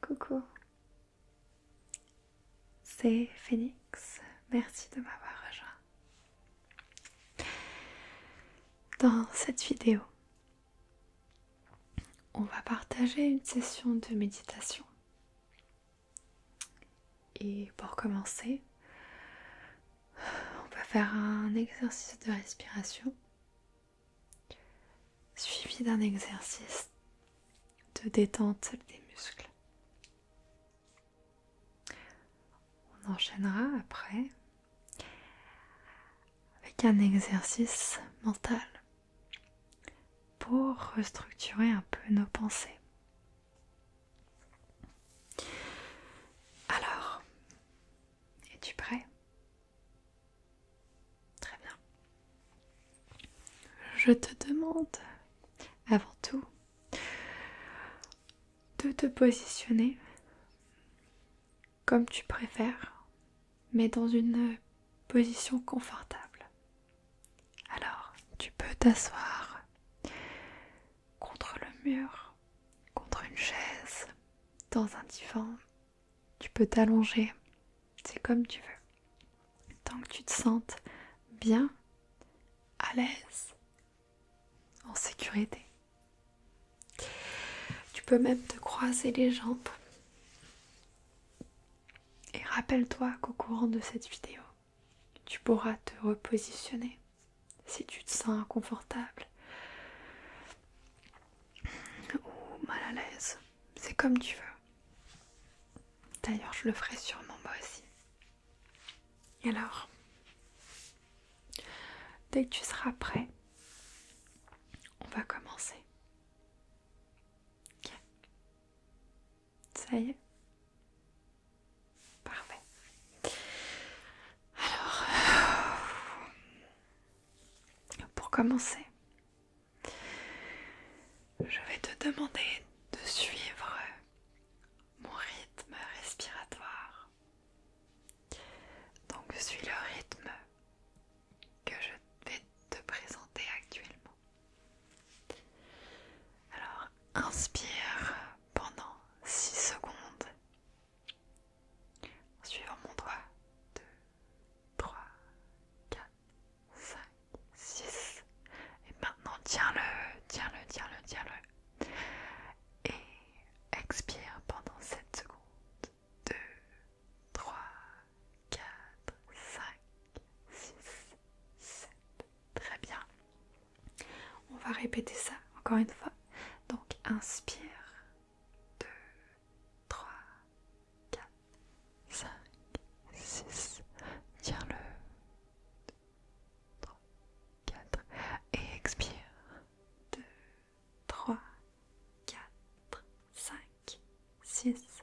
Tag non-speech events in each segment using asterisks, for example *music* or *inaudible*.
Coucou, c'est Phoenix, merci de m'avoir rejoint. Dans cette vidéo, on va partager une session de méditation et pour commencer, on va faire un exercice de respiration suivi d'un exercice de détente des muscles. On enchaînera après avec un exercice mental pour restructurer un peu nos pensées. Alors, es-tu prêt Très bien. Je te demande avant tout de te positionner comme tu préfères, mais dans une position confortable. Alors, tu peux t'asseoir contre le mur, contre une chaise, dans un divan. Tu peux t'allonger, c'est comme tu veux. Tant que tu te sentes bien, à l'aise, en sécurité. Tu peux même te croiser les jambes. Et rappelle-toi qu'au courant de cette vidéo, tu pourras te repositionner si tu te sens inconfortable ou mal à l'aise. C'est comme tu veux. D'ailleurs, je le ferai sûrement moi aussi. Et alors, dès que tu seras prêt, on va commencer. Ok ça y est Parfait. Alors, euh, pour commencer, je vais te demander de suivre mon rythme respiratoire. Donc, je suis le rythme que je vais te présenter actuellement. Alors, inspire pendant 6 secondes en suivant mon doigt. 2, 3, 4, 5, 6. Et maintenant, tiens-le, tiens-le, tiens-le, tiens-le. Et expire pendant 7 secondes. 2, 3, 4, 5, 6, 7, Très bien. On va répéter ça encore une fois. Donc inspire. 2, 3, 4, 5, 6. Tiens le. 2, 3, 4. Et expire. 2, 3, 4, 5, 6,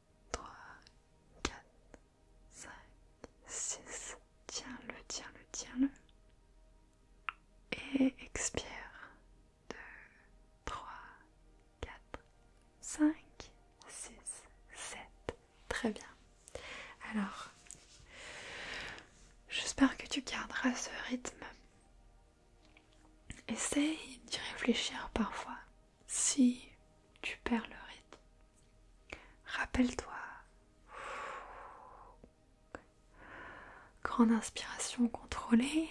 3, 4, 5, 6. Tiens-le, tiens-le, tiens-le. Et expire. 2, 3, 4, 5, 6, 7. Très bien. Alors, j'espère que tu garderas ce rythme. Essaye d'y réfléchir parfois si tu perds le rythme. Rappelle-toi. Grande inspiration contrôlée.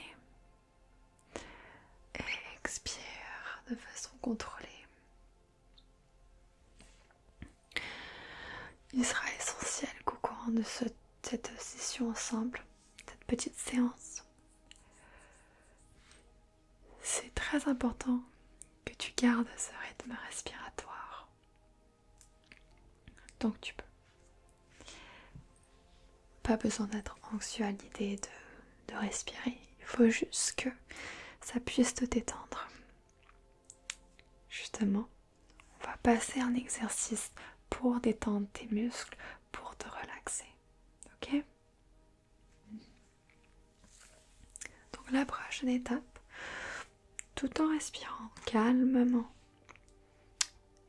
Et expire de façon contrôlée. Il sera essentiel qu'au courant de cette session ensemble, cette petite séance, c'est très important que tu gardes ce rythme respiratoire tant que tu peux. Pas besoin d'être anxieux à l'idée de, de respirer, il faut juste que ça puisse te détendre. Justement, on va passer un exercice pour détendre tes muscles, pour te relaxer. Ok donc la prochaine étape, tout en respirant calmement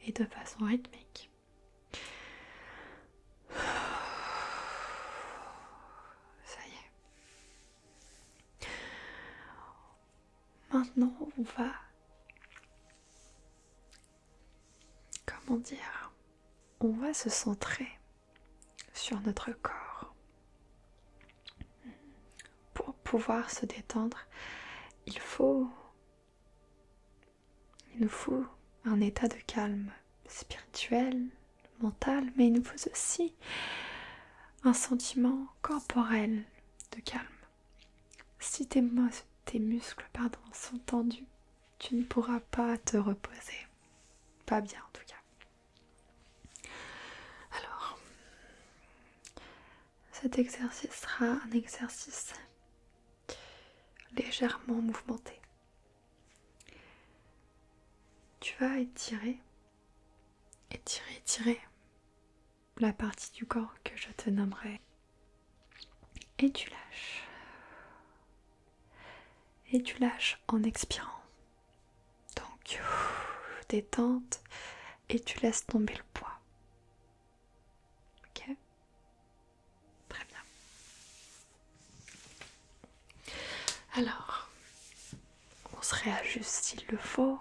et de façon rythmique. Ça y est. Maintenant, on va... Comment dire On va se centrer sur notre corps. Pour pouvoir se détendre, il faut il nous faut un état de calme spirituel, mental, mais il nous faut aussi un sentiment corporel de calme. Si tes, muscles pardon, sont tendus, tu ne pourras pas te reposer. Pas bien en tout cas. Alors, cet exercice sera un exercice légèrement mouvementé. Tu vas étirer, étirer, étirer la partie du corps que je te nommerai. Et tu lâches et tu lâches en expirant. Donc, détente et tu laisses tomber le poids. Ok Très bien. Alors, on se réajuste s'il le faut.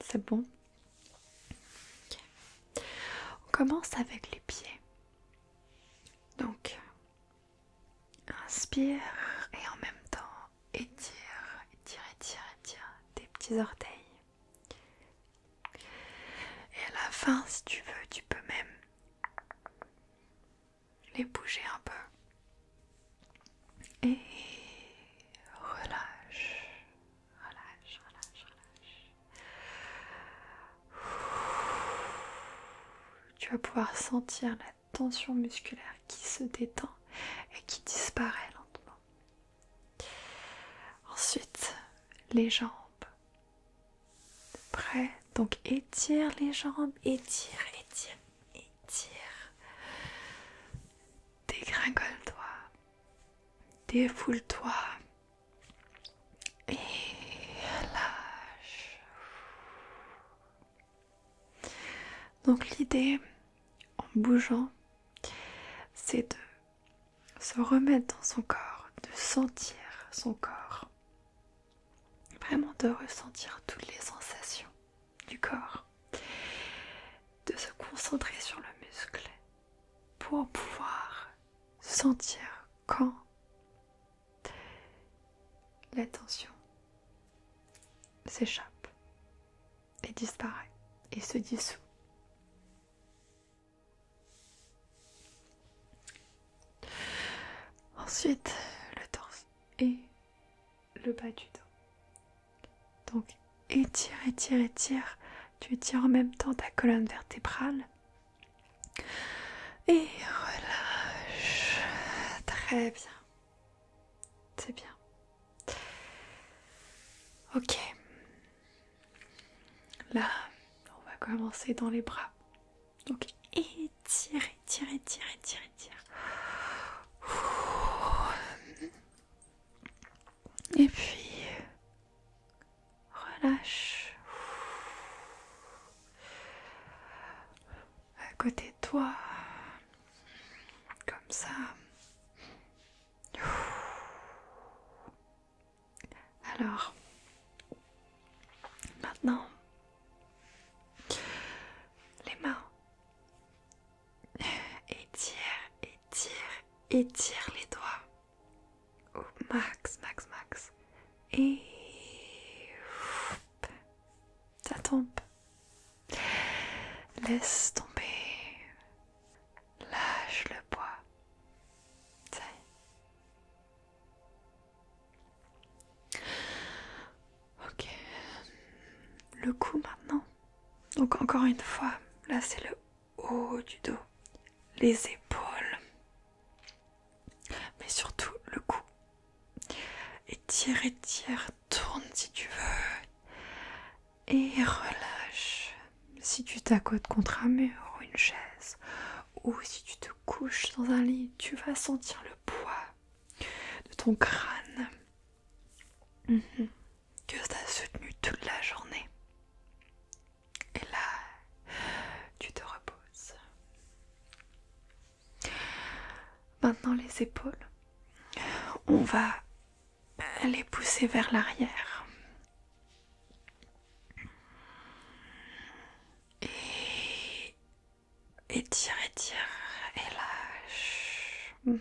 C'est bon On commence avec les pieds. Donc, Inspire et en même temps étire, étire, étire, étire tes petits orteils. Et à la fin, si tu veux, tu peux même les bouger un peu. Et relâche, relâche, relâche, relâche. Tu vas pouvoir sentir la tension musculaire qui se détend et qui disparaît lentement. Ensuite, les jambes. Prêt Donc étire les jambes, étire, étire, étire. Dégringole-toi, défoule-toi, et lâche. Donc l'idée, en bougeant, c'est de se remettre dans son corps, de sentir son corps, vraiment de ressentir toutes les sensations du corps, de se concentrer sur le muscle pour pouvoir sentir quand la tension s'échappe et disparaît et se dissout. Ensuite, le torse et le bas du dos. Donc étire, étire, étire. Tu étires en même temps ta colonne vertébrale et relâche. Très bien. C'est bien. Ok. Là, on va commencer dans les bras. Donc étire, étire, étire, étire, étire. Et puis relâche. À côté de toi, comme ça. Alors, maintenant, les mains. Étire, étire, étire les doigts max, max, max. Et ça tombe. Laisse tomber. Lâche le poids. Ça Ok. Le cou maintenant. Donc encore une fois, là c'est le haut du dos, les épaules, mais surtout le cou. Et tire, et tire, tourne si tu veux, et relâche. Si tu t'accotes contre un mur ou une chaise, ou si tu te couches dans un lit, tu vas sentir le poids de ton crâne mhm. que tu que soutenu toute la journée. Et là, tu te reposes. Maintenant les épaules. On va les pousser vers l'arrière. Et étire, tire, et lâche.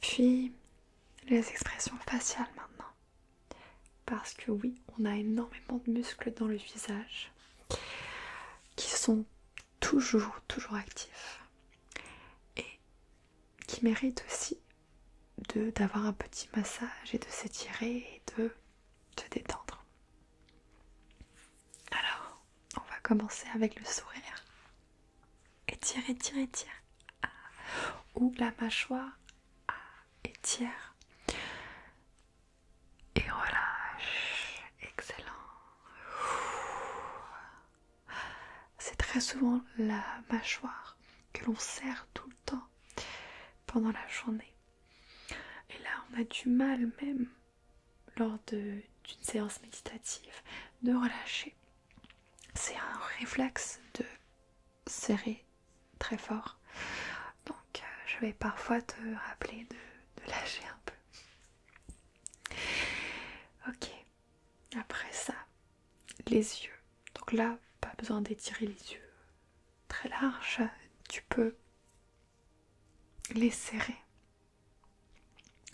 Puis les expressions faciales maintenant. Parce que oui, on a énormément de muscles dans le visage qui sont toujours, toujours actifs et qui méritent aussi d'avoir un petit massage et de s'étirer et de se détendre. Alors, on va commencer avec le sourire. Étire, étire, étire. Ah. Ou la mâchoire. Étire. Ah. Et relâche. Excellent. C'est très souvent la mâchoire que l'on serre tout le temps pendant la journée. Et là, on a du mal même lors d'une séance méditative de relâcher. C'est un réflexe de serrer très fort. Donc euh, je vais parfois te rappeler de, de lâcher un peu. Ok, après ça, les yeux. Donc là, pas besoin d'étirer les yeux très larges. Tu peux les serrer.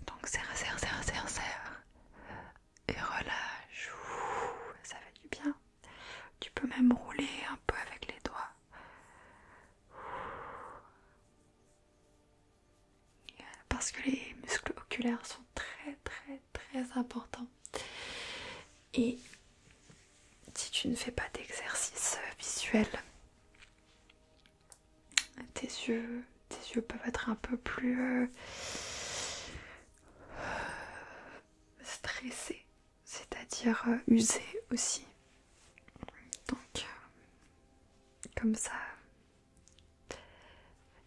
Donc serre, serre, serre, serre, serre. Et relâche. ça fait du bien. Tu peux même rouler un peu avec les doigts. Parce que les muscles oculaires sont très très très importants. Et si tu ne fais pas d'exercice visuel, tes yeux, tes yeux peuvent être un peu plus euh, stressés, c'est-à-dire euh, usés aussi. Donc, euh, comme ça,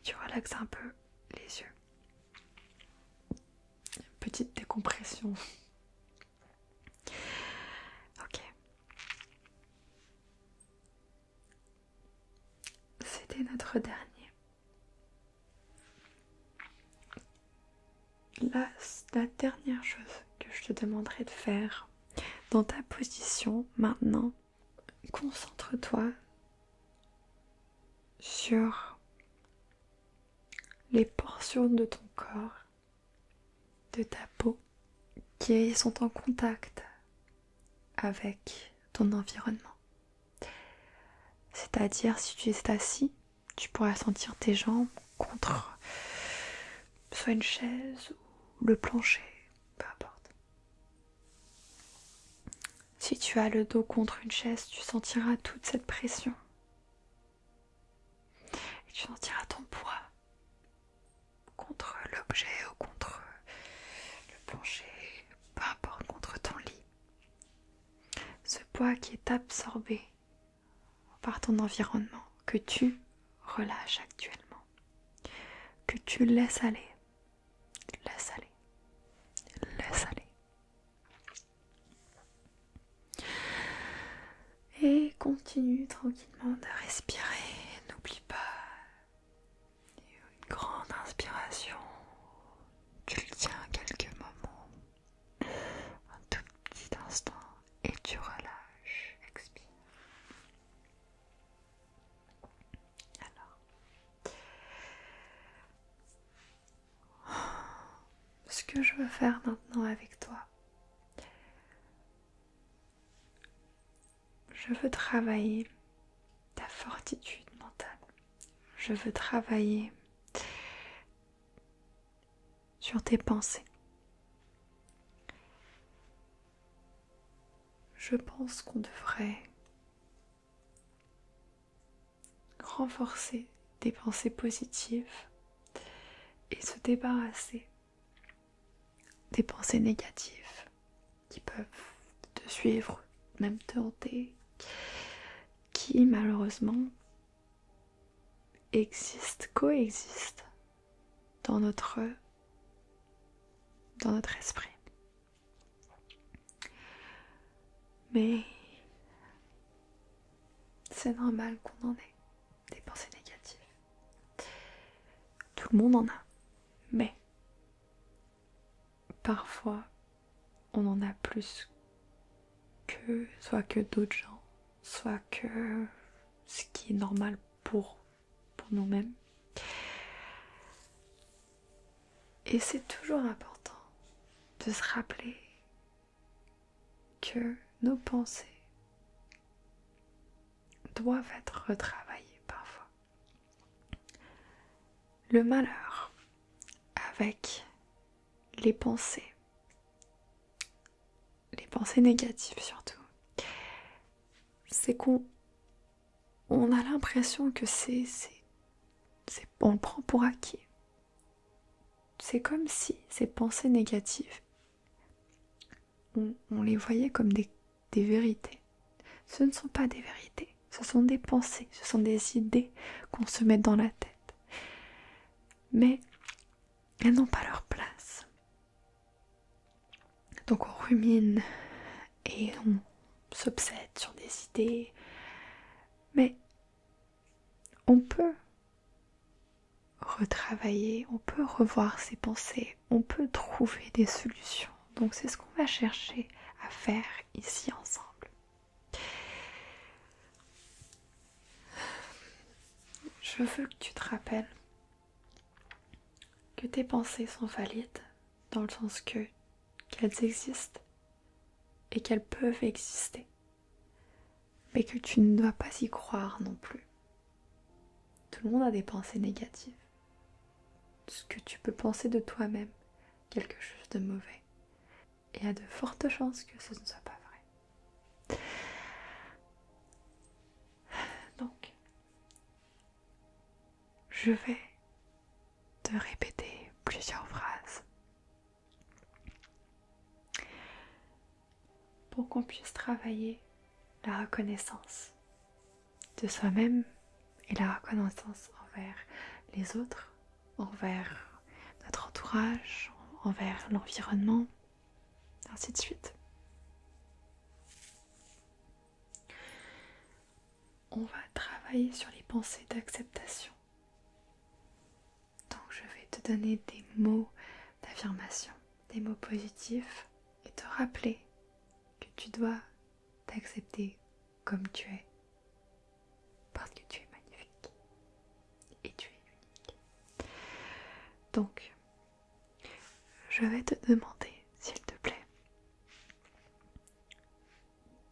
tu relaxes un peu les yeux. Petite décompression. *laughs* Ok, c'était notre dernier. la dernière chose que je te demanderai de faire dans ta position maintenant, concentre-toi sur les portions de ton corps de ta peau qui sont en contact avec ton environnement. C'est-à-dire si tu es assis, tu pourras sentir tes jambes contre soit une chaise ou le plancher, peu importe. Si tu as le dos contre une chaise, tu sentiras toute cette pression. Et tu sentiras ton poids contre l'objet ou contre le plancher, peu importe, contre ton lit. Ce poids qui est absorbé par ton environnement, que tu relâches actuellement, que tu laisses aller, laisse aller, laisse aller. Et continue tranquillement de respirer. N'oublie pas une grande inspiration. Tu le tiens quelques moments, un tout petit instant, et tu relâches. Expire. Alors, ce que je veux faire maintenant avec toi, je veux travailler ta fortitude mentale. Je veux travailler sur tes pensées. Je pense qu'on devrait renforcer des pensées positives et se débarrasser des pensées négatives qui peuvent te suivre, même te hanter, qui malheureusement existent, coexistent dans notre, dans notre esprit. Mais c'est normal qu'on en ait des pensées négatives. Tout le monde en a, mais parfois on en a plus que soit que d'autres gens, soit que ce qui est normal pour, pour nous-mêmes. Et c'est toujours important de se rappeler que nos pensées doivent être retravaillées parfois. Le malheur avec les pensées, les pensées négatives surtout, c'est qu'on on a l'impression que c'est, on le prend pour acquis. C'est comme si ces pensées négatives on, les voyait comme des vérités. Ce ne sont pas des vérités, ce sont des pensées, ce sont des idées qu'on se met dans la tête. Mais elles n'ont pas leur place. Donc on rumine et on s'obsède sur des idées. Mais on peut retravailler, on peut revoir ses pensées, on peut trouver des solutions. Donc c'est ce qu'on va chercher à faire ici ensemble. Je veux que tu te rappelles que tes pensées sont valides dans le sens que qu'elles existent et qu'elles peuvent exister, mais que tu ne dois pas y croire non plus. Tout le monde a des pensées négatives. Ce que tu peux penser de toi-même, quelque chose de mauvais. Et il y a de fortes chances que ce ne soit pas vrai. Donc, je vais te répéter plusieurs phrases pour qu'on puisse travailler la reconnaissance de soi-même et la reconnaissance envers les autres, envers notre entourage, envers l'environnement, ainsi de suite. On va travailler sur les pensées d'acceptation. Donc je vais te donner des mots d'affirmation, des mots positifs et te rappeler que tu dois t'accepter comme tu es. Parce que tu es magnifique. Et tu es unique. Donc, je vais te demander, s'il te plaît,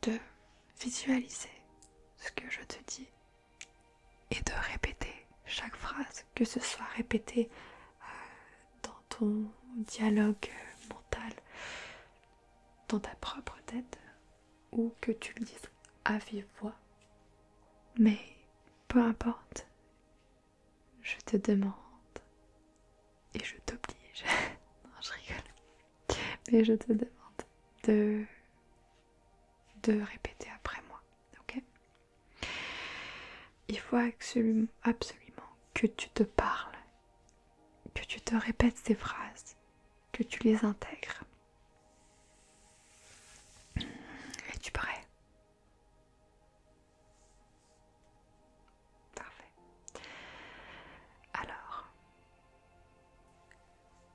de visualiser ce que je te dis et de répéter chaque phrase que ce soit répété euh, dans ton dialogue euh, mental, dans ta propre tête, ou que tu le dises à vive voix. Mais peu importe, je te demande et je t'oblige, *laughs* non je rigole, mais je te demande de, de répéter après moi, ok il faut absolument, que tu te parles, que tu te répètes ces phrases, que tu les intègres. Es-tu prêt Parfait. Alors,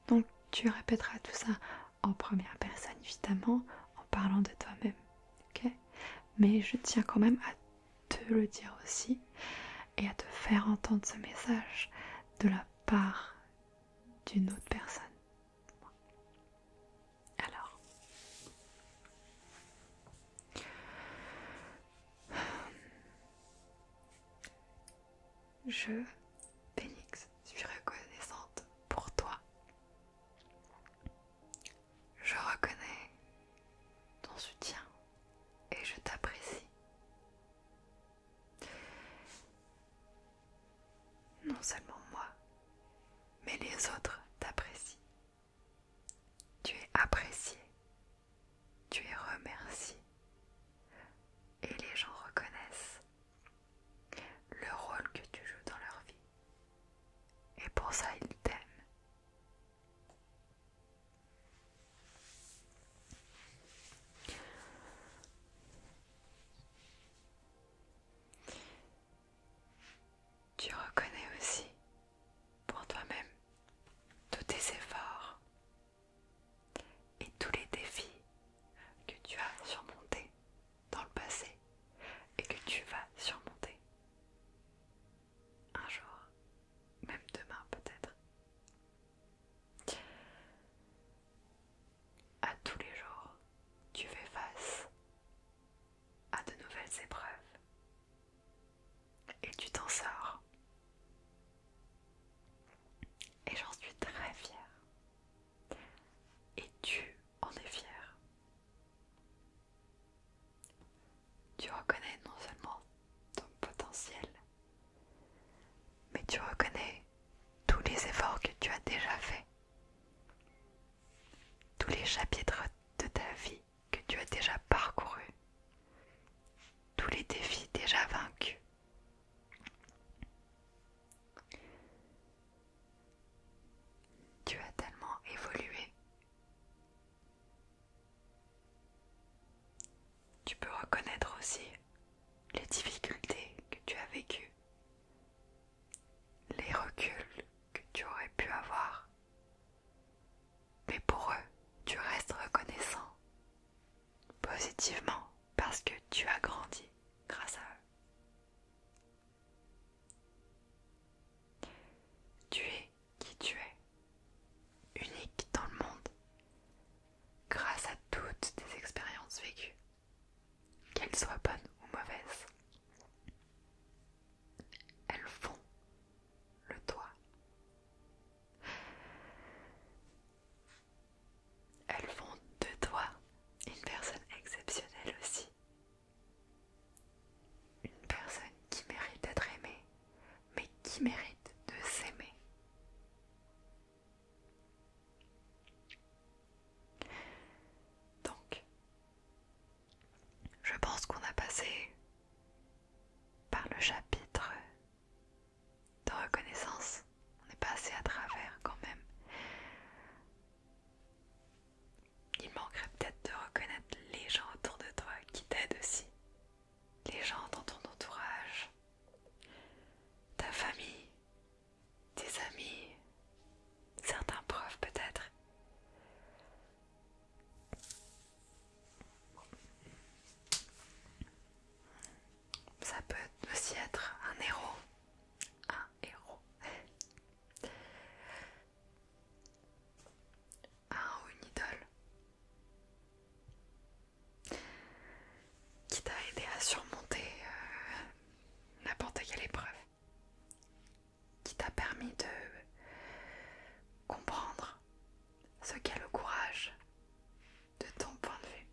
donc tu répéteras tout ça en première personne, évidemment, en parlant de toi-même ok Mais je tiens quand même à te le dire aussi et à te faire entendre ce message de la part d'une autre personne. Alors, je, Phoenix, suis reconnaissante pour toi je reconnais ton soutien et je t'apprécie. Non seulement moi, mais les autres t'apprécient. Tu es apprécié, tu es remercié et les gens reconnaissent le rôle que tu joues dans leur vie. Et pour ça, il t'aime. Tu reconnais aussi pour toi-même tous tes efforts et tous les défis que tu as surmontés dans le passé et que tu vas surmonter. Un jour, même demain peut-être. À tous les jours, tu fais face à de nouvelles épreuves et tu t'en sors. Et j'en suis très fière. Et tu en es fier. Tu reconnais non seulement ton potentiel, mais tu reconnais tous les efforts que tu as déjà faits, tous les chapitres de ta vie que tu as déjà parcourus, tous les défis déjà vaincus. Tu as tellement évolué. Tu peux reconnaître aussi les difficultés que tu as vécues, les reculs que tu aurais pu avoir. Mais pour eux, tu restes reconnaissant, positivement, parce que tu as grandi grâce à eux. Tu es qui tu es, unique dans le monde, grâce à toutes tes expériences vécues, qu'elles soient bonnes ou mauvaises. Elles font le toi. Elles font de toi une personne exceptionnelle aussi, une personne qui mérite d'être aimée, mais qui mérite de s'aimer. Donc, je pense qu'on a passé par le chapitre de reconnaissance. On est passé à travers quand même. Il manquerait peut-être de reconnaître les gens autour de toi qui t'aident aussi, les gens dans ton entourage, ta famille, tes amis, certains profs peut-être. Ça peut aussi être un héros, un héros, un ah, ou une idole qui t'a aidé à surmonter euh, n'importe quelle épreuve, qui t'a permis de comprendre ce qu'est le courage de ton point de vue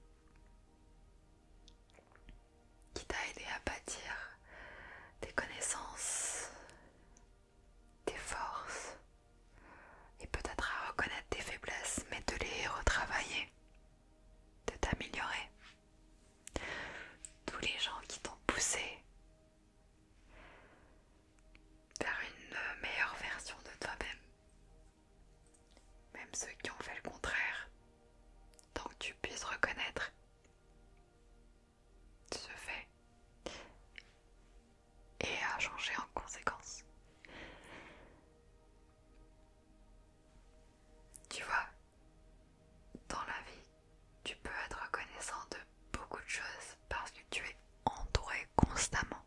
qui t'a aidé à bâtir tes connaissances, tes forces et peut-être à reconnaître tes faiblesses, mais de les retravailler, de t'améliorer. Tous les gens qui t'ont poussé vers une meilleure version de toi-même. Même ceux qui ont fait le contraire, tant que tu puisses reconnaître se fait et a changé en conséquence. Tu vois, dans la vie, tu peux être reconnaissant de beaucoup de choses parce que tu es entouré constamment.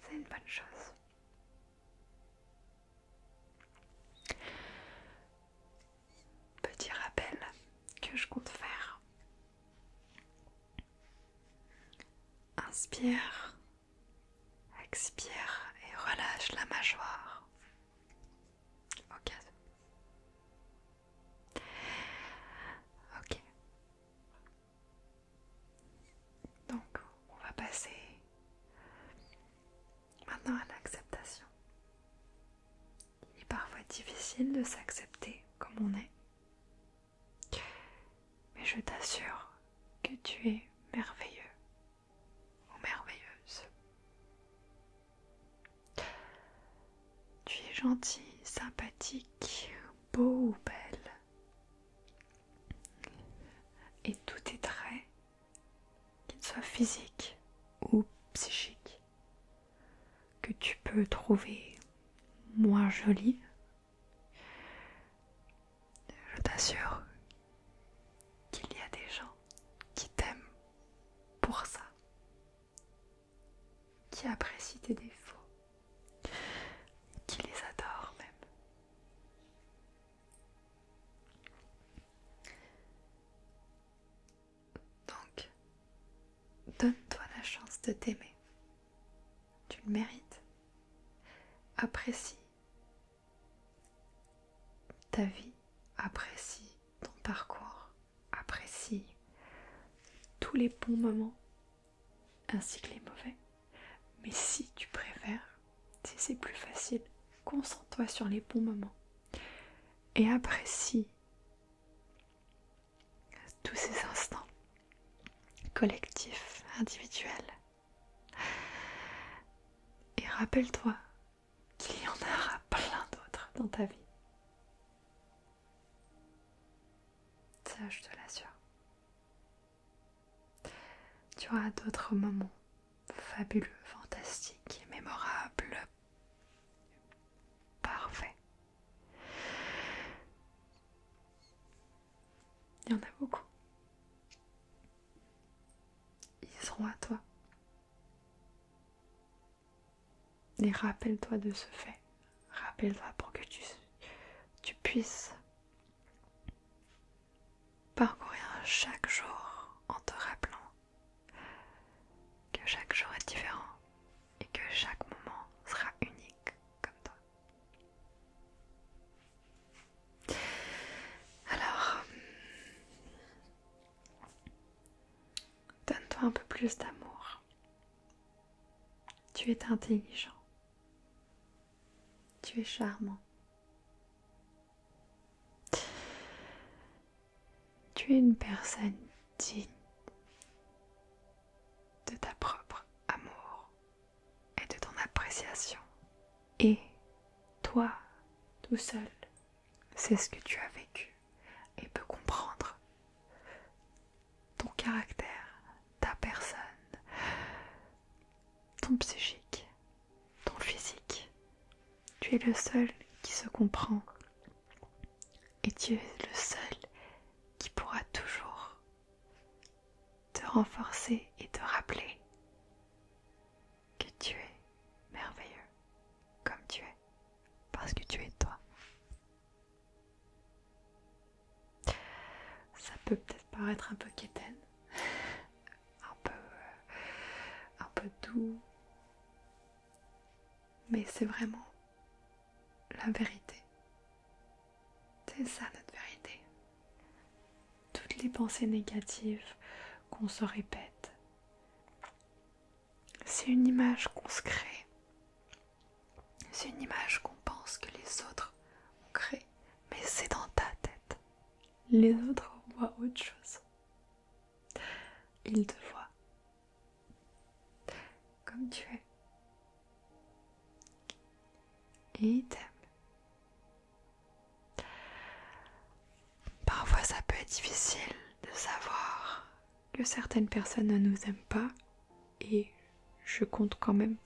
C'est une bonne chose. Petit rappel que je compte faire. Inspire, expire et relâche la mâchoire. Ok. Ok. Donc, on va passer maintenant à l'acceptation. Il est parfois difficile de s'accepter comme on est. Mais je t'assure que tu es merveilleux ou merveilleuse. Tu es gentil, sympathique, beau ou belle. Et tous tes traits, qu'ils soient physiques ou psychiques, que tu peux trouver moins jolis, je t'assure qu'il y a des gens qui t'aiment pour ça, qui apprécient tes défauts, qui les adorent même. Donc, donne-toi la chance de t'aimer. Tu le mérites. Apprécie ta vie, apprécie ton parcours, apprécie tous les bons moments, ainsi que les mauvais. Mais si tu préfères, si c'est plus facile, concentre-toi sur les bons moments et apprécie tous ces instants collectifs, individuels. Et rappelle-toi qu'il y en aura plein d'autres dans ta vie. Ça, je te l'assure. Tu auras d'autres moments fabuleux, fantastiques, mémorables, parfaits. Il y en a beaucoup. Ils seront à toi. Et rappelle-toi de ce fait. Rappelle-toi pour que tu, tu puisses Parcourir chaque jour en te rappelant que chaque jour est différent et que chaque moment sera unique comme toi. Alors, donne-toi un peu plus d'amour. Tu es intelligent. Tu es charmant. Tu es une personne digne de ta propre amour et de ton appréciation. Et toi, tout seul, c'est ce que tu as vécu et peux comprendre ton caractère, ta personne, ton psychique, ton physique. Tu es le seul qui se comprend et tu es le seul qui pourra toujours te renforcer et te rappeler que tu es merveilleux comme tu es parce que tu es toi. Ça peut peut-être paraître un peu quétaine, *laughs* un peu, euh, un peu doux, mais c'est vraiment la vérité. C'est ça notre vérité. Toutes les pensées négatives qu'on se répète, c'est une image qu'on se crée. C'est une image qu'on pense que les autres ont créée mais c'est dans ta tête. Les autres voient autre chose. Ils te voient comme tu es. Et ils t'aiment. Parfois ça peut être difficile de savoir que certaines personnes ne nous aiment pas et je compte quand même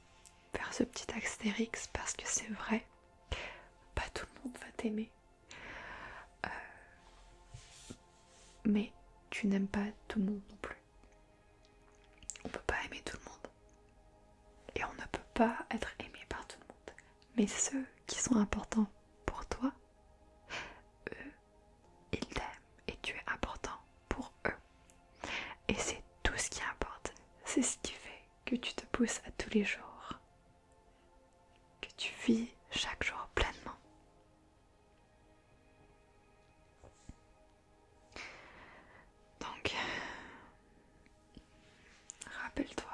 faire ce petit astérix parce que c'est vrai, pas tout le monde va t'aimer. Euh, mais tu n'aimes pas tout le monde non plus. On peut pas aimer tout le monde. Et on ne peut pas être aimé par tout le monde. Mais ceux qui sont importants pour toi, eux, ils t'aiment et tu es important pour eux. Et c'est tout ce qui importe. C'est ce qui fait que tu te pousses à tous les jours, que tu vis chaque jour pleinement. Donc, rappelle-toi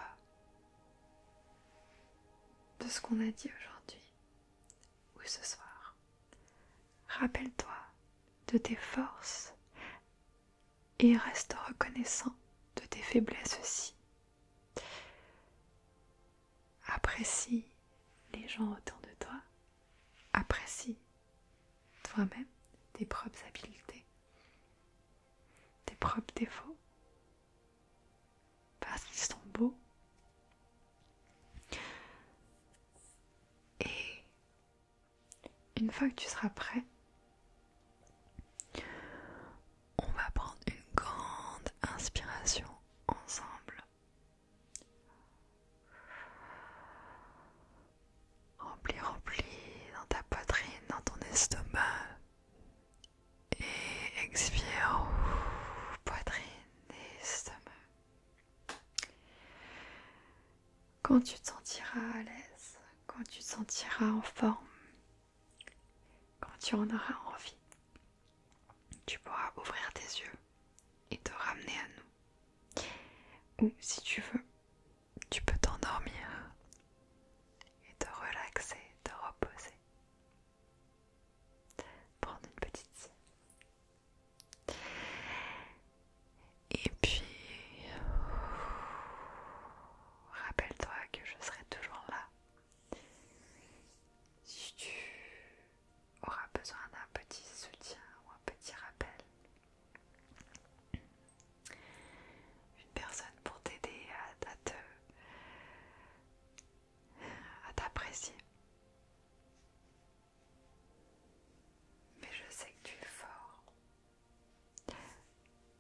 de ce qu'on a dit aujourd'hui ou ce soir. Rappelle-toi de tes forces et reste reconnaissant de tes faiblesses aussi. Apprécie les gens autour de toi, apprécie toi-même tes propres habiletés, tes propres défauts, parce qu'ils sont beaux. Et une fois que tu seras prêt, on va prendre une grande inspiration ensemble. Remplis, remplis dans ta poitrine, dans ton estomac. Et expire, poitrine et estomac quand tu te sentiras à l'aise, quand tu te sentiras en forme, quand tu en auras envie, tu pourras ouvrir tes yeux et te ramener à nous. Ou si tu veux, tu peux t'endormir et te relaxer, te reposer. Prendre une petite et puis, rappelle-toi que je serai toujours là. Si tu auras besoin d'un petit soutien ou un petit rappel, une personne pour t'aider à, te à t'apprécier. Mais je sais que tu es fort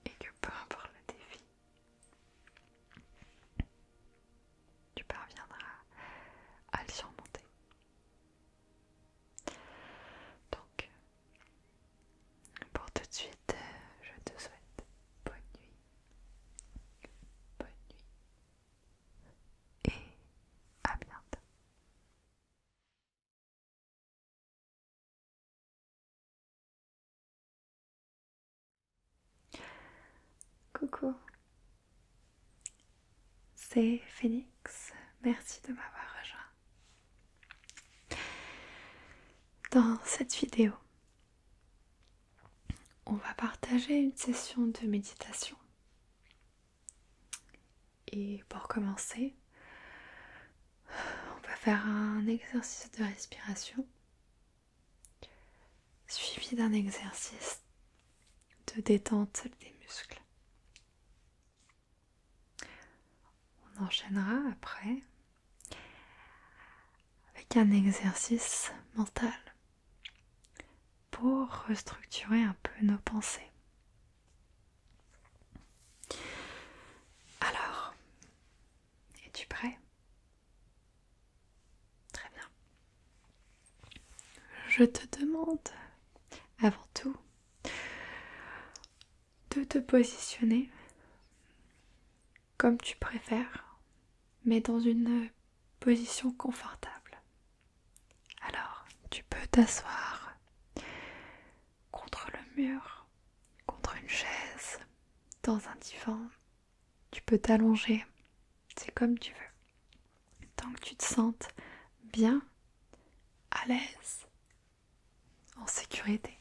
et que peu importe le défi, tu parviendras à le surmonter. Donc, pour tout de suite, euh, je te souhaite bonne nuit, bonne nuit et à bientôt. Coucou, c'est Phoenix, merci de m'avoir rejoint. Dans cette vidéo, on va partager une session de méditation et pour commencer, on va faire un exercice de respiration suivi d'un exercice de détente des muscles. On enchaînera après avec un exercice mental pour restructurer un peu nos pensées. Alors, es-tu prêt Très bien. Je te demande avant tout de te positionner comme tu préfères, mais dans une position confortable. Alors, tu peux t'asseoir contre le mur, contre une chaise, dans un divan. Tu peux t'allonger, c'est comme tu veux. Tant que tu te sentes bien, à l'aise, en sécurité.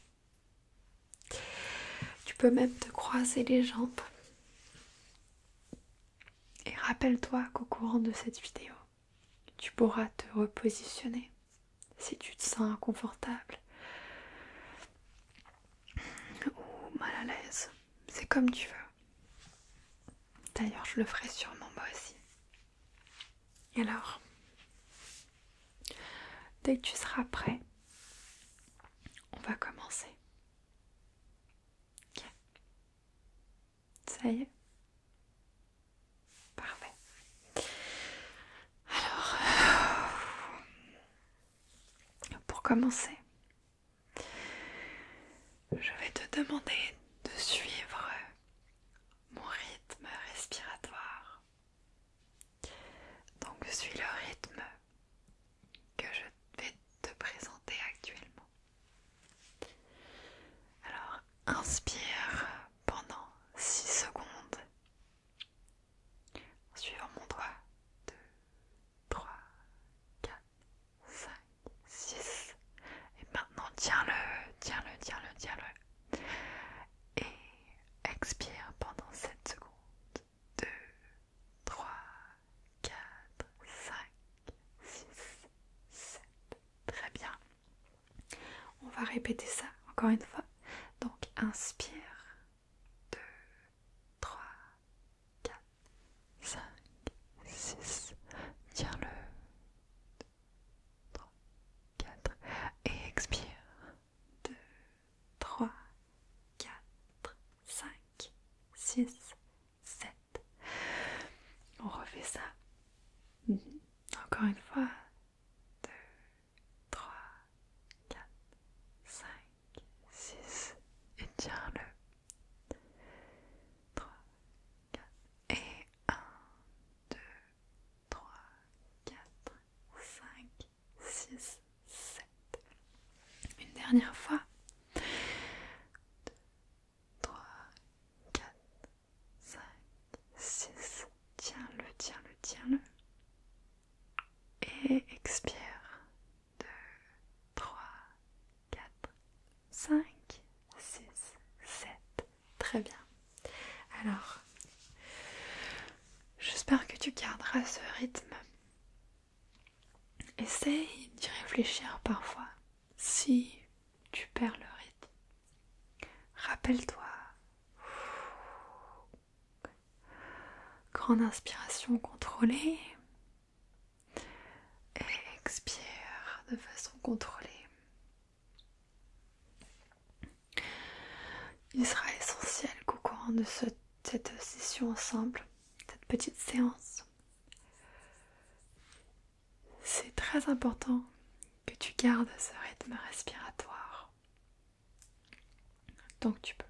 Tu peux même te croiser les jambes. Et rappelle-toi qu'au courant de cette vidéo, tu pourras te repositionner si tu te sens inconfortable ou mal à l'aise. C'est comme tu veux. D'ailleurs, je le ferai sûrement moi aussi. Et alors, dès que tu seras prêt, on va commencer. Ok ça y est Parfait. Alors, euh, pour commencer, je vais te demander de suivre mon rythme respiratoire. Donc, je suis le rythme que je vais te présenter actuellement. Alors, inspire pendant 6 secondes en suivant mon doigt 2, 3, 4, 5, 6 et maintenant tiens-le, tiens-le, tiens-le, tiens-le et expire pendant 7 secondes 2, 3, 4, 5, 6, 7 très bien on va répéter ça encore une fois. Donc inspire. 2, 3, 4, 5, 6. Tiens-le. 3, 4. Et expire. 2, 3, 4, 5, 6, 7. On refait ça Mhm. Encore une fois. deux, trois, quatre, cinq, six Et tiens-le. trois, quatre Et un, deux, trois, quatre, cinq, six, sept. Une dernière fois. 3, 4, 5, 6. Tiens-le, tiens-le, tiens-le. Et expire. 2, 3, 4, 5, 6, 7. Très bien. Alors, j'espère que tu garderas ce rythme. Essaye d'y réfléchir parfois si tu perds le rythme. Rappelle-toi. Grande inspiration contrôlée. Et expire de façon contrôlée. Il sera essentiel qu'au courant de cette session ensemble, cette petite séance, c'est très important que tu gardes ce rythme respiratoire donc tu peux.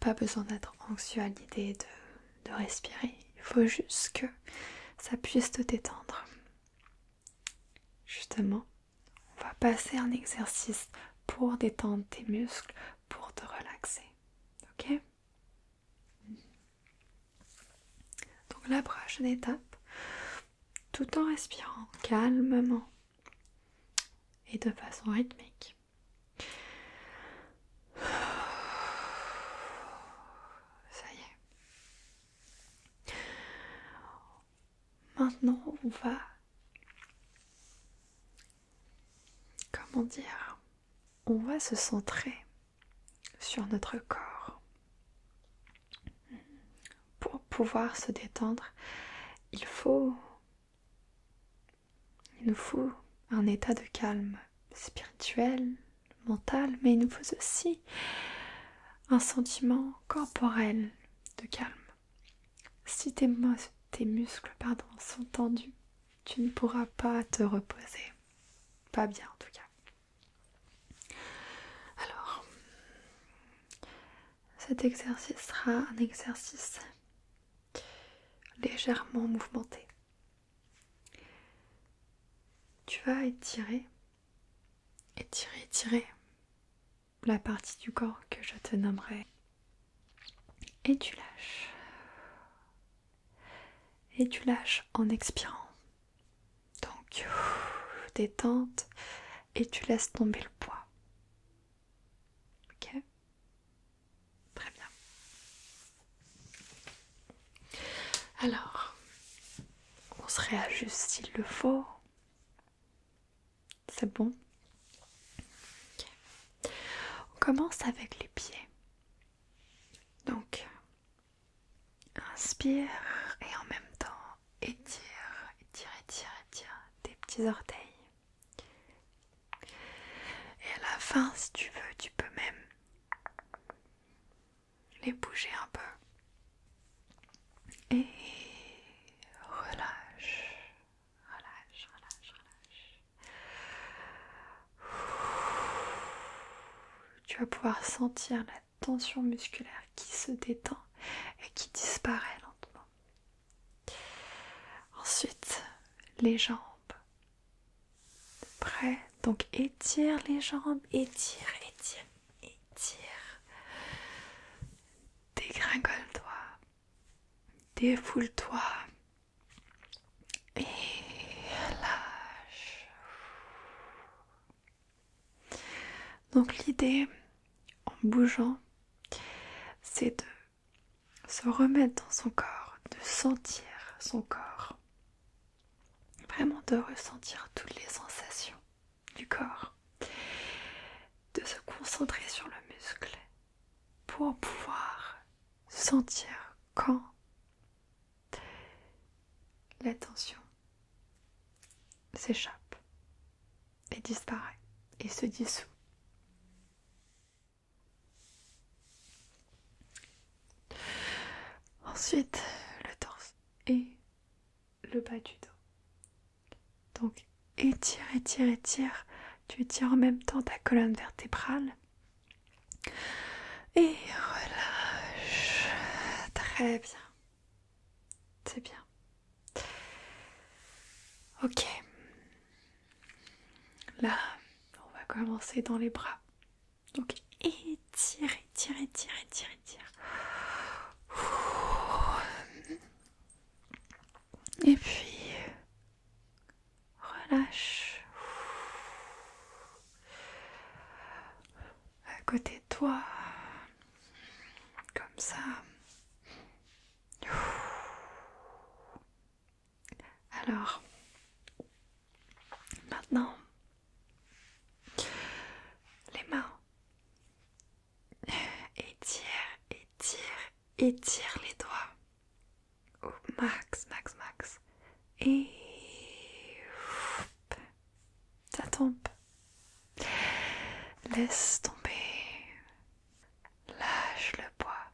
Pas besoin d'être anxieux à l'idée de, respirer, il faut juste que ça puisse te détendre. Justement, on va passer un exercice pour détendre tes muscles, pour te relaxer. Ok donc la prochaine étape, tout en respirant calmement et de façon rythmique. Ça y est. Maintenant, on va... Comment dire On va se centrer sur notre corps. Pour pouvoir se détendre, il faut il nous faut un état de calme spirituel, mental, mais il nous faut aussi un sentiment corporel de calme. Si tes, muscles pardon, sont tendus, tu ne pourras pas te reposer. Pas bien en tout cas. Alors, cet exercice sera un exercice légèrement mouvementé. Tu vas étirer, étirer, étirer la partie du corps que je te nommerai et tu lâches et tu lâches en expirant. Donc, détente et tu laisses tomber le poids. Ok Très bien. Alors, on se réajuste s'il le faut. C'est bon On commence avec les pieds. Donc, Inspire et en même temps étire, étire, étire, étire tes petits orteils. Et à la fin, si tu veux, tu peux même les bouger un peu. Et relâche, relâche, relâche, relâche. Tu vas pouvoir sentir la tension musculaire qui se détend et qui disparaît lentement. Ensuite, les jambes. Prêt Donc étire les jambes, étire, étire, étire. Dégringole-toi, défoule-toi et lâche. Donc l'idée en bougeant, c'est de se remettre dans son corps, de sentir son corps, vraiment de ressentir toutes les sensations du corps, de se concentrer sur le muscle pour pouvoir sentir quand la tension s'échappe et disparaît et se dissout. Ensuite, le torse et le bas du dos. Donc étire, étire, étire. Tu étires en même temps ta colonne vertébrale et relâche. Très bien. C'est bien. Ok. Là, on va commencer dans les bras. Donc étire, étire, étire, étire, étire. Et puis relâche à côté de toi, comme ça. Alors, maintenant, les mains. Étire, étire, étire les doigts. Au max, max, max et ça tombe. Laisse tomber. Lâche le poids.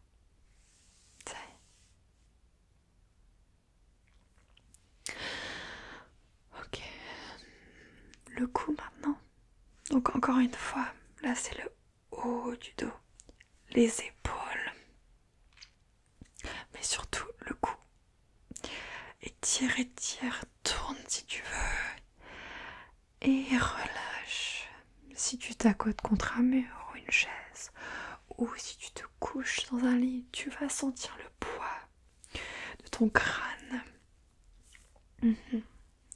Ok. Le cou maintenant. Donc encore une fois, là c'est le haut du dos, les épaules, mais surtout le cou. Et tire, et tire, tourne si tu veux, et relâche. Si tu t'accotes contre un mur ou une chaise, ou si tu te couches dans un lit, tu vas sentir le poids de ton crâne mhm.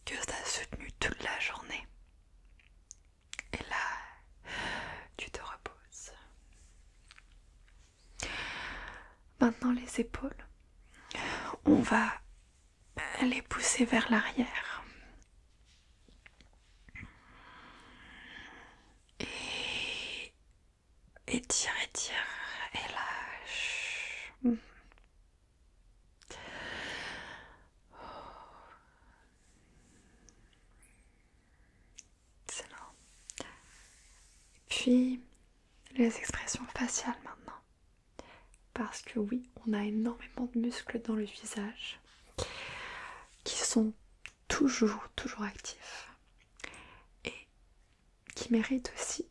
que tu as soutenu toute la journée. Et là, tu te reposes. Maintenant les épaules. On va les pousser vers l'arrière. Et étire, tire et lâche. Excellent. Puis les expressions faciales maintenant. Parce que oui, on a énormément de muscles dans le visage qui sont toujours, toujours actifs et qui méritent aussi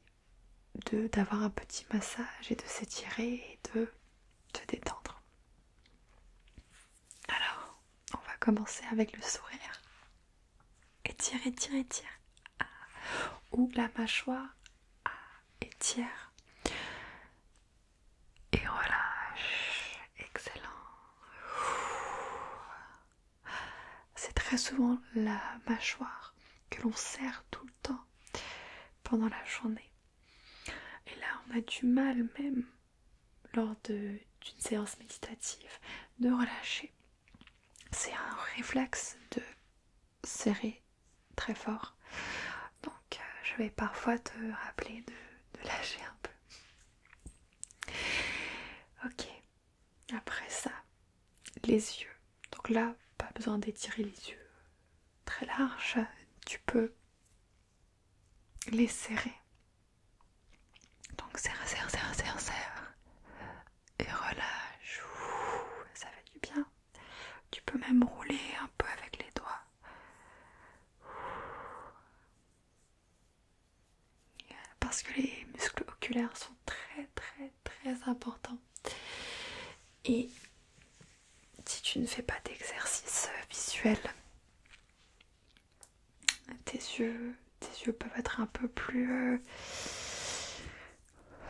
d'avoir un petit massage et de s'étirer et de se détendre. Alors, on va commencer avec le sourire. Étire, étire, étire. Ah. Ou la mâchoire. Ah. Et Étire. Et relâche. Excellent. C'est très souvent la mâchoire que l'on serre tout le temps pendant la journée. Et là, on a du mal même lors d'une séance méditative de relâcher. C'est un réflexe de serrer très fort. Donc euh, je vais parfois te rappeler de lâcher un peu. Ok, après ça, les yeux. Donc là, pas besoin d'étirer les yeux très larges, tu peux les serrer donc serre, serre, serre, serre, serre. Et relâche. ça fait du bien. Tu peux même rouler un peu avec les doigts. Parce que les muscles oculaires sont très très très importants. Et si tu ne fais pas d'exercice visuel, tes yeux, tes yeux peuvent être un peu plus euh,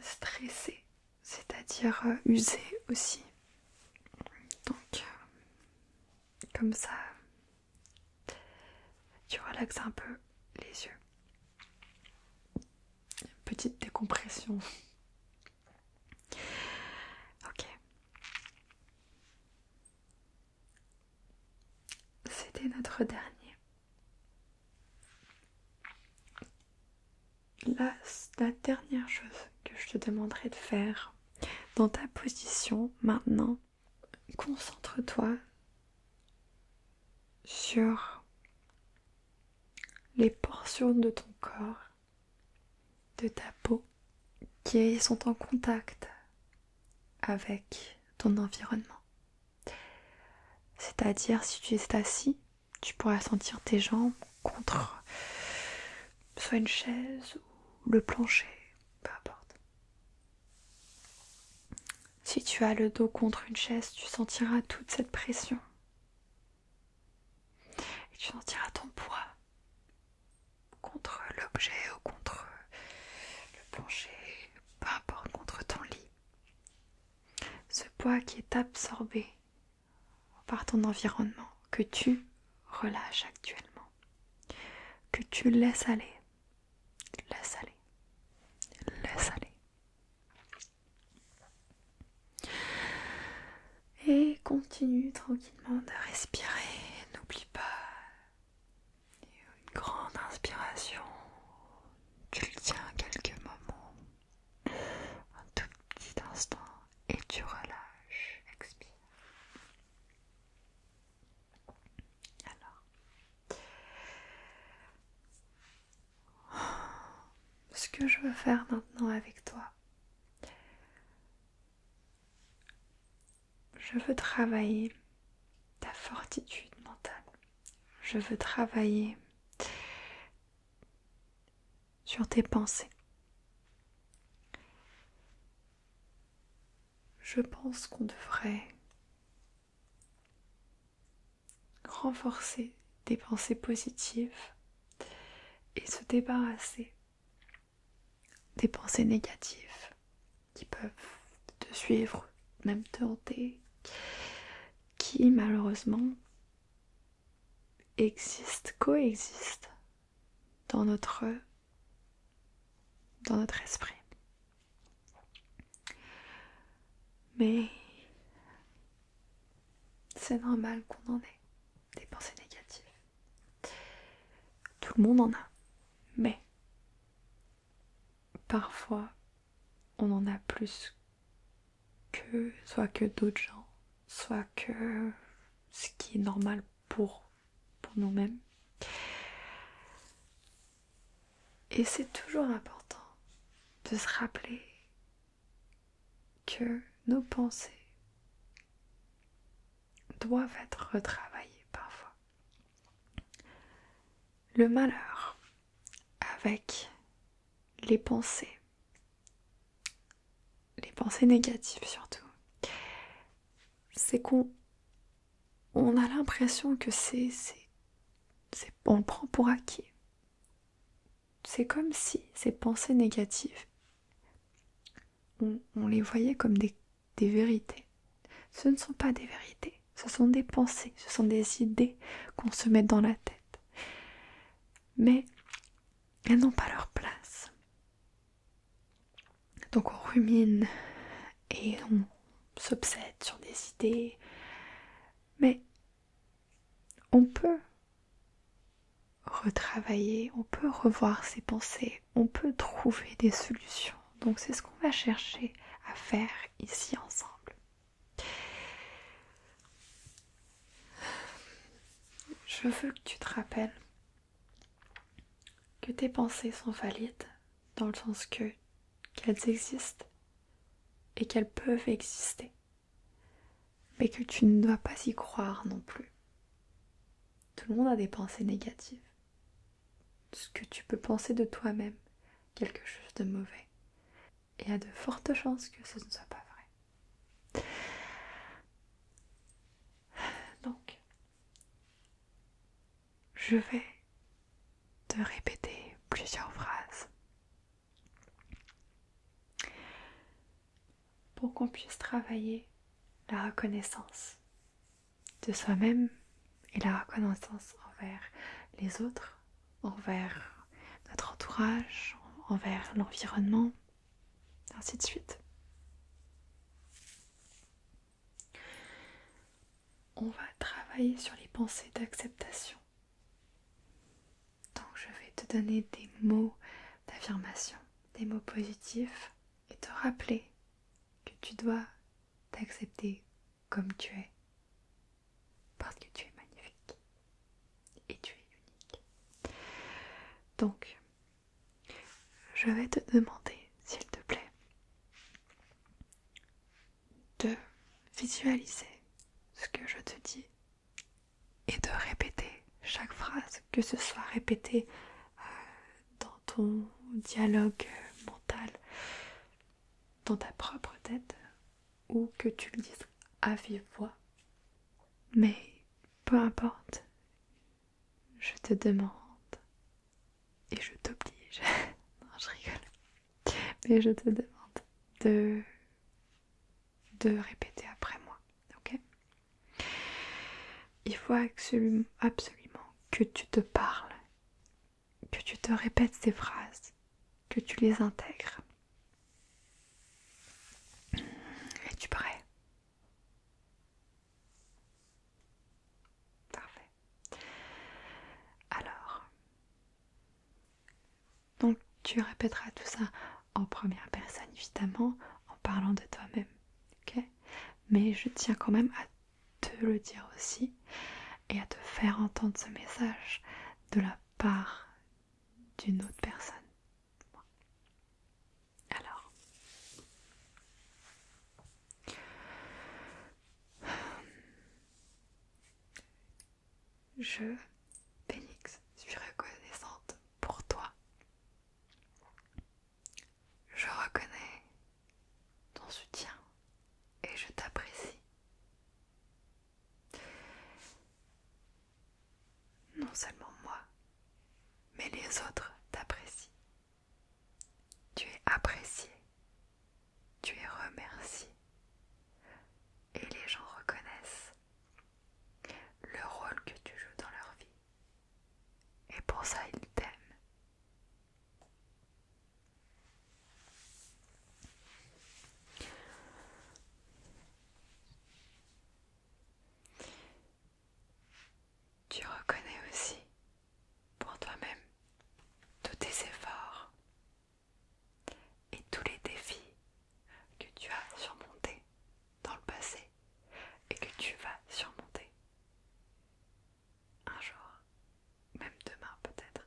stressés, c'est-à-dire euh, usés aussi. Donc, euh, comme ça, tu relaxes un peu les yeux. Petite décompression. Ok. C'était notre dernier. la dernière chose que je te demanderais de faire dans ta position maintenant, concentre-toi sur les portions de ton corps de ta peau qui sont en contact avec ton environnement. C'est-à-dire si tu es assis, tu pourras sentir tes jambes contre soit une chaise ou le plancher, peu importe. Si tu as le dos contre une chaise, tu sentiras toute cette pression. Et tu sentiras ton poids contre l'objet ou contre le plancher, peu importe, contre ton lit. Ce poids qui est absorbé par ton environnement, que tu relâches actuellement, que tu laisses aller, laisse aller, laisse aller. Et continue tranquillement de respirer. N'oublie pas une grande inspiration, tu le tiens quelques moments, un tout petit instant et tu relâches, expire. Alors, ce que je veux faire maintenant avec toi, je veux travailler ta fortitude mentale. Je veux travailler sur tes pensées. Je pense qu'on devrait renforcer des pensées positives et se débarrasser des pensées négatives qui peuvent te suivre, même te hanter, qui malheureusement existent, coexistent dans notre, dans notre esprit. Mais c'est normal qu'on en ait des pensées négatives. Tout le monde en a. Mais parfois, on en a plus que soit que d'autres gens, soit que ce qui est normal pour, pour nous-mêmes. Et c'est toujours important de se rappeler que nos pensées doivent être retravaillées parfois. Le malheur avec les pensées, les pensées négatives surtout, c'est qu'on a l'impression que c'est, on le prend pour acquis. C'est comme si ces pensées négatives, on les voyait comme des des vérités. Ce ne sont pas des vérités, ce sont des pensées, ce sont des idées qu'on se met dans la tête. Mais elles n'ont pas leur place. Donc on rumine et on s'obsède sur des idées. Mais on peut retravailler, on peut revoir ces pensées, on peut trouver des solutions. Donc c'est ce qu'on va chercher à faire ici ensemble. Je veux que tu te rappelles que tes pensées sont valides dans le sens que qu'elles existent et qu'elles peuvent exister, mais que tu ne dois pas y croire non plus. Tout le monde a des pensées négatives ce que tu peux penser de toi-même quelque chose de mauvais. Et il y a de fortes chances que ce ne soit pas vrai. Donc, je vais te répéter plusieurs phrases pour qu'on puisse travailler la reconnaissance de soi-même et la reconnaissance envers les autres, envers notre entourage, envers l'environnement, ainsi de suite. On va travailler sur les pensées d'acceptation. Donc je vais te donner des mots d'affirmation, des mots positifs et te rappeler que tu dois t'accepter comme tu es, parce que tu es magnifique et tu es unique. Donc, je vais te demander, s'il te plaît, de visualiser ce que je te dis et de répéter chaque phrase, que ce soit répétée euh, dans ton dialogue euh, mental, dans ta propre tête, ou que tu le dises à vive voix. Mais peu importe, je te demande et je t'oblige, *laughs* non je rigole, mais je te demande de, de répéter après moi, ok il faut absolument, que tu te parles, que tu te répètes ces phrases, que tu les intègres. Es-tu prêt Parfait. Alors, donc tu répéteras tout ça en première personne, évidemment, en parlant de toi-même. Ok mais je tiens quand même à te le dire aussi et à te faire entendre ce message de la part d'une autre personne. Alors, je, Phoenix, suis reconnaissante pour toi je reconnais ton soutien et je t'apprécie. Non seulement moi, mais les autres t'apprécient. Tu es apprécié, tu es remercié et les gens reconnaissent le rôle que tu joues dans leur vie et pour ça, il t'aime. Tu reconnais aussi pour toi-même tous tes efforts et tous les défis que tu as surmontés dans le passé et que tu vas surmonter. Un jour, même demain peut-être.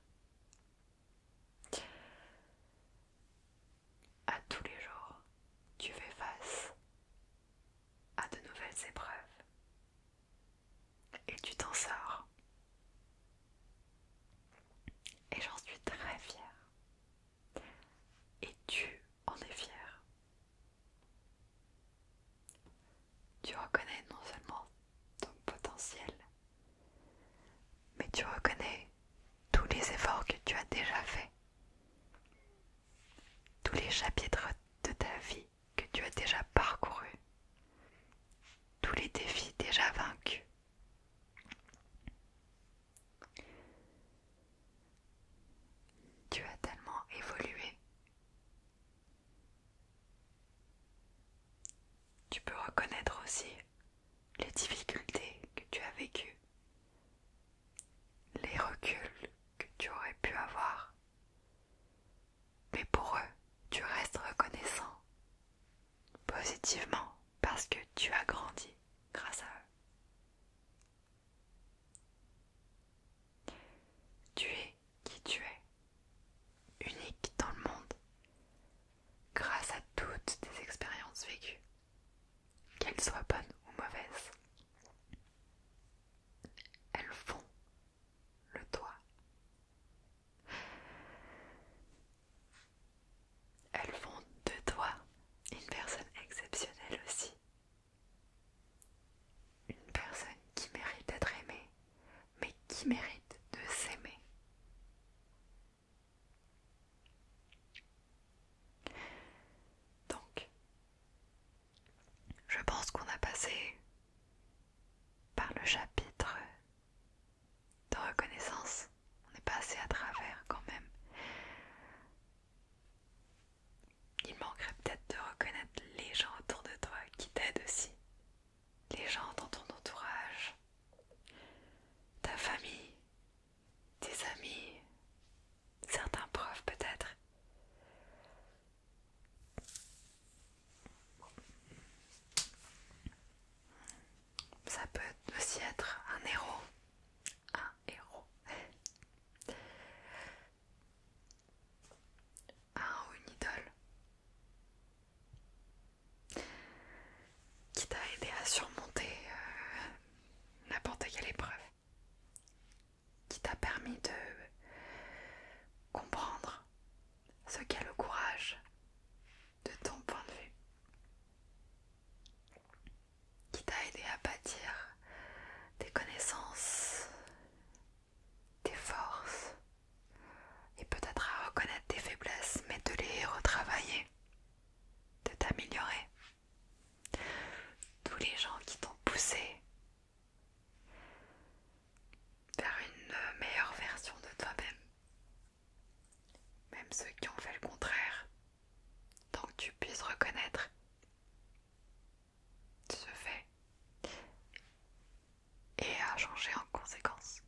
À tous les jours, tu fais face à de nouvelles épreuves et tu t'en sors. Et j'en suis très fière. Et tu en es fière. Tu reconnais non seulement ton potentiel, mais tu reconnais tous les efforts que tu as déjà faits, tous les chapitres de ta vie que tu as déjà parcourus, tous les défis déjà vaincus. Tu as tellement évolué. Tu peux reconnaître aussi les difficultés que tu as vécues, les reculs que tu aurais pu avoir. Mais pour eux, tu restes reconnaissant positivement parce que tu as grandi grâce à eux. Tu es qui tu es, unique dans le monde, grâce à toutes tes expériences vécues, qu'elles soient bonnes ou mauvaises. Elles font le toi. Elles font de toi une personne exceptionnelle aussi, une personne qui mérite d'être aimée, mais qui mérite de s'aimer. Donc, je pense qu'on a passé par le chapitre de reconnaissance. On est passé à travers quand même il manquerait peut-être de reconnaître les gens autour de toi qui t'aident aussi, les gens dans ton entourage, ta famille, tes amis, certains profs peut-être. Ça peut aussi être un héros, un héros à un ou une idole qui t'a aidé à surmonter euh, n'importe quelle épreuve, qui t'a permis de comprendre ce qu'est le courage de ton point de vue qui t'a aidé à bâtir tes connaissances, tes forces et peut-être à reconnaître tes faiblesses, mais de les retravailler, de t'améliorer. Tous les gens qui t'ont poussé vers une meilleure version de toi-même, même ceux qui ont fait le contraire, tant que tu puisses reconnaître se fait et a changer en conséquence.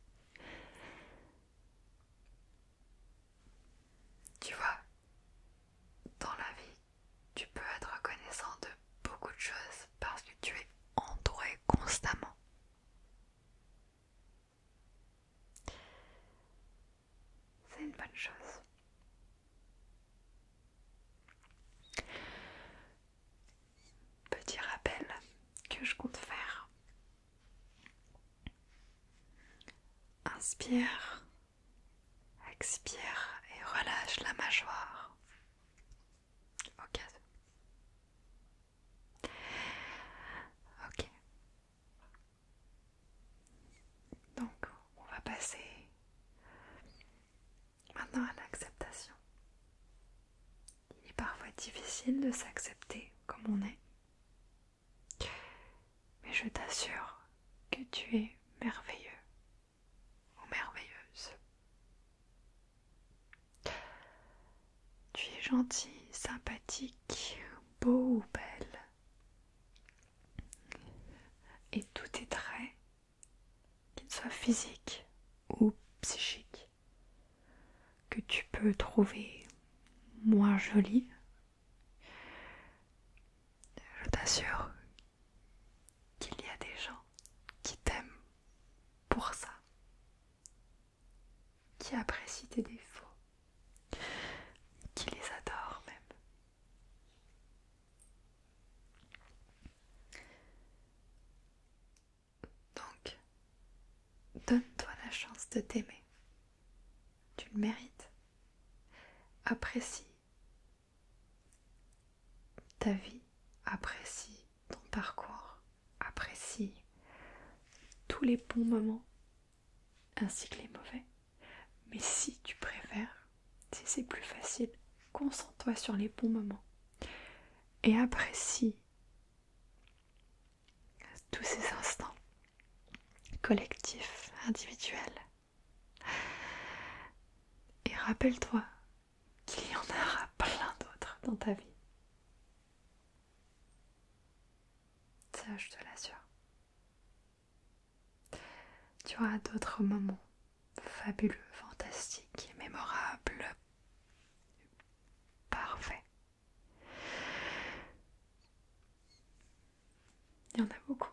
Tu vois, dans la vie, tu peux être reconnaissant de beaucoup de choses parce que tu es entouré constamment. C'est une bonne chose. Petit rappel que je compte faire. Inspire, expire et relâche la mâchoire. Ok. Ok. Donc on va passer Maintenant à l'acceptation. Il est parfois difficile de s'accepter comme on est. Mais je t'assure que tu es merveilleux ou merveilleuse. Tu es gentil, sympathique, beau ou belle. Et tout est très qu'il soit physique ou psychique, que tu peux trouver moins joli, je t'assure qu'il y a des gens qui t'aiment pour ça, qui apprécient tes défauts, qui les adorent même. Donc, donne-toi la chance de t'aimer. Tu le mérites. Apprécie ta vie, apprécie ton parcours, apprécie tous les bons moments ainsi que les mauvais. Mais si tu préfères, si c'est plus facile, concentre-toi sur les bons moments et apprécie tous ces instants collectifs, individuels. Et rappelle-toi qu'il y en aura plein d'autres dans ta vie. Ça, je te l'assure. Tu auras d'autres moments fabuleux, fantastiques, mémorables, parfaits. Il y en a beaucoup.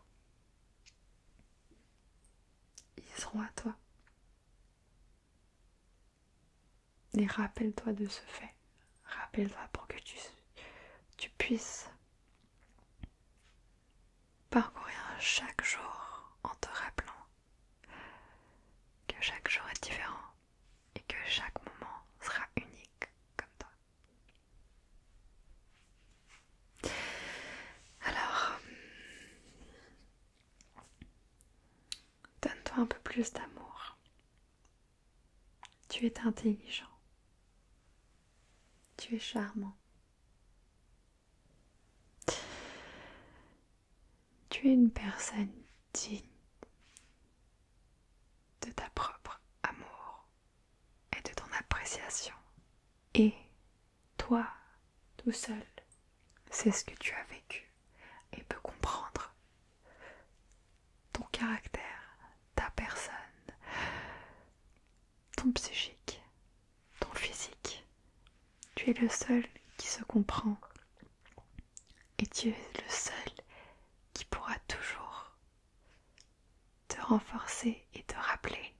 Ils seront à toi. Et rappelle-toi de ce fait. Rappelle-toi pour que tu, tu puisses parcourir chaque jour en te rappelant que chaque jour est différent et que chaque moment sera unique comme toi. Alors, donne-toi un peu plus d'amour. Tu es intelligent. Tu es charmant. Tu es une personne digne de ta propre amour et de ton appréciation. Et toi, tout seul, c'est ce que tu as vécu et peux comprendre ton caractère, ta personne, ton psychique, ton physique. Tu es le seul qui se comprend et tu es le seul qui pourra toujours te renforcer et te rappeler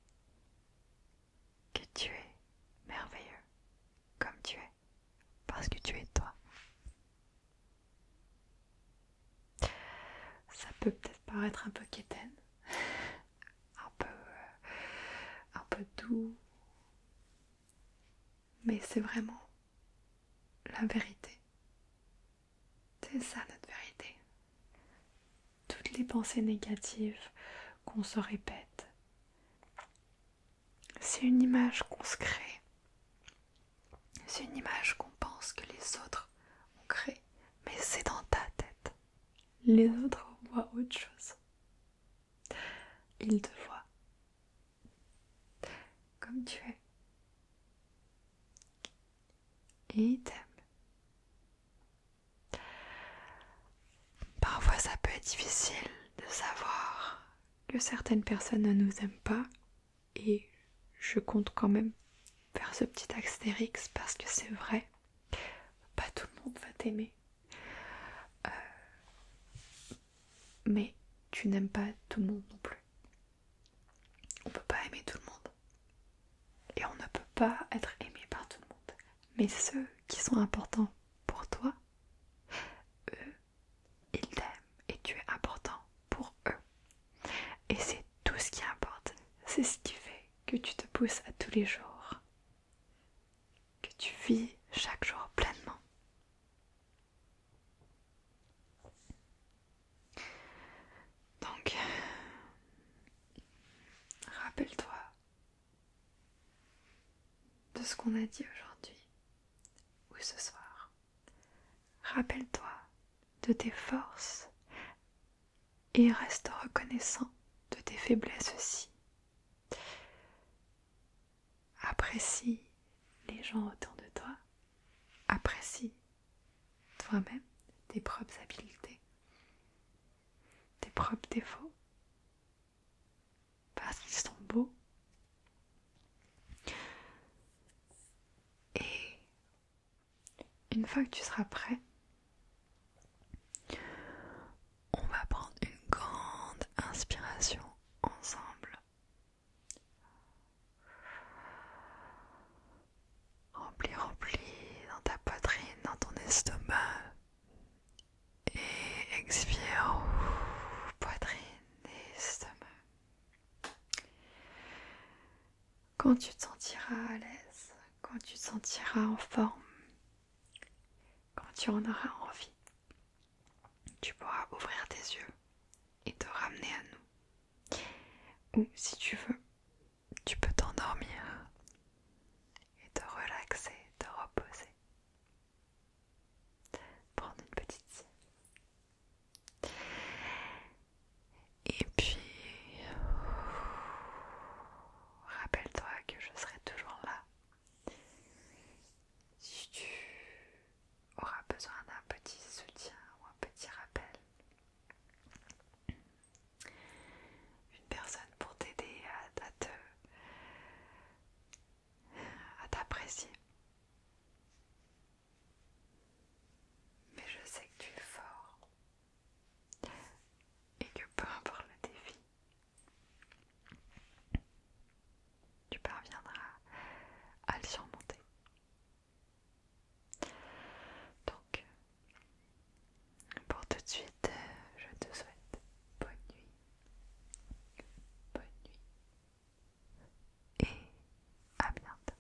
que tu es merveilleux comme tu es parce que tu es toi. Ça peut peut-être paraître un peu quétaine, un peu, euh, un peu doux. Mais c'est vraiment la vérité. C'est ça notre vérité. Toutes les pensées négatives qu'on se répète. C'est une image qu'on se crée. C'est une image qu'on pense que les autres ont créé Mais c'est dans ta tête les autres voient autre chose. Ils te voient comme tu es. Et ils t'aiment. Parfois ça peut être difficile de savoir que certaines personnes ne nous aiment pas et je compte quand même faire ce petit astérix parce que c'est vrai pas tout le monde va t'aimer. Euh, mais tu n'aimes pas tout le monde non plus. On ne peut pas aimer tout le monde. Et on ne peut pas être aimé par tout le monde. Mais ceux qui sont importants pour toi, eux, ils t'aiment et tu es important pour eux. Et c'est tout ce qui importe. C'est ce qui fait que tu te pousses à tous les jours, que tu vis chaque jour pleinement. Donc, rappelle-toi de ce qu'on a dit aujourd'hui ou ce soir. Rappelle-toi de tes forces et reste reconnaissant de tes faiblesses aussi. Apprécie les gens autour de toi, apprécie toi-même tes propres habiletés, tes propres défauts, parce qu'ils sont beaux. Une fois que tu seras prêt, on va prendre une grande inspiration ensemble. Remplis, remplis dans ta poitrine, dans ton estomac. Et expire, poitrine et estomac quand tu te sentiras à l'aise, quand tu te sentiras en forme, quand tu en auras envie, tu pourras ouvrir tes yeux et te ramener à nous. Ou si tu veux, tu peux t'endormir et te relaxer, te reposer. Prendre une petite sieste. Et puis, euh, rappelle-toi que je serai toujours là. Si tu auras besoin d'un petit soutien ou un petit rappel, une personne pour t'aider à, te à t'apprécier. Mais je sais que tu es fort et que peu importe le défi, tu parviendras à le surmonter. Donc, pour tout de suite, euh, je te souhaite bonne nuit, bonne nuit et à bientôt.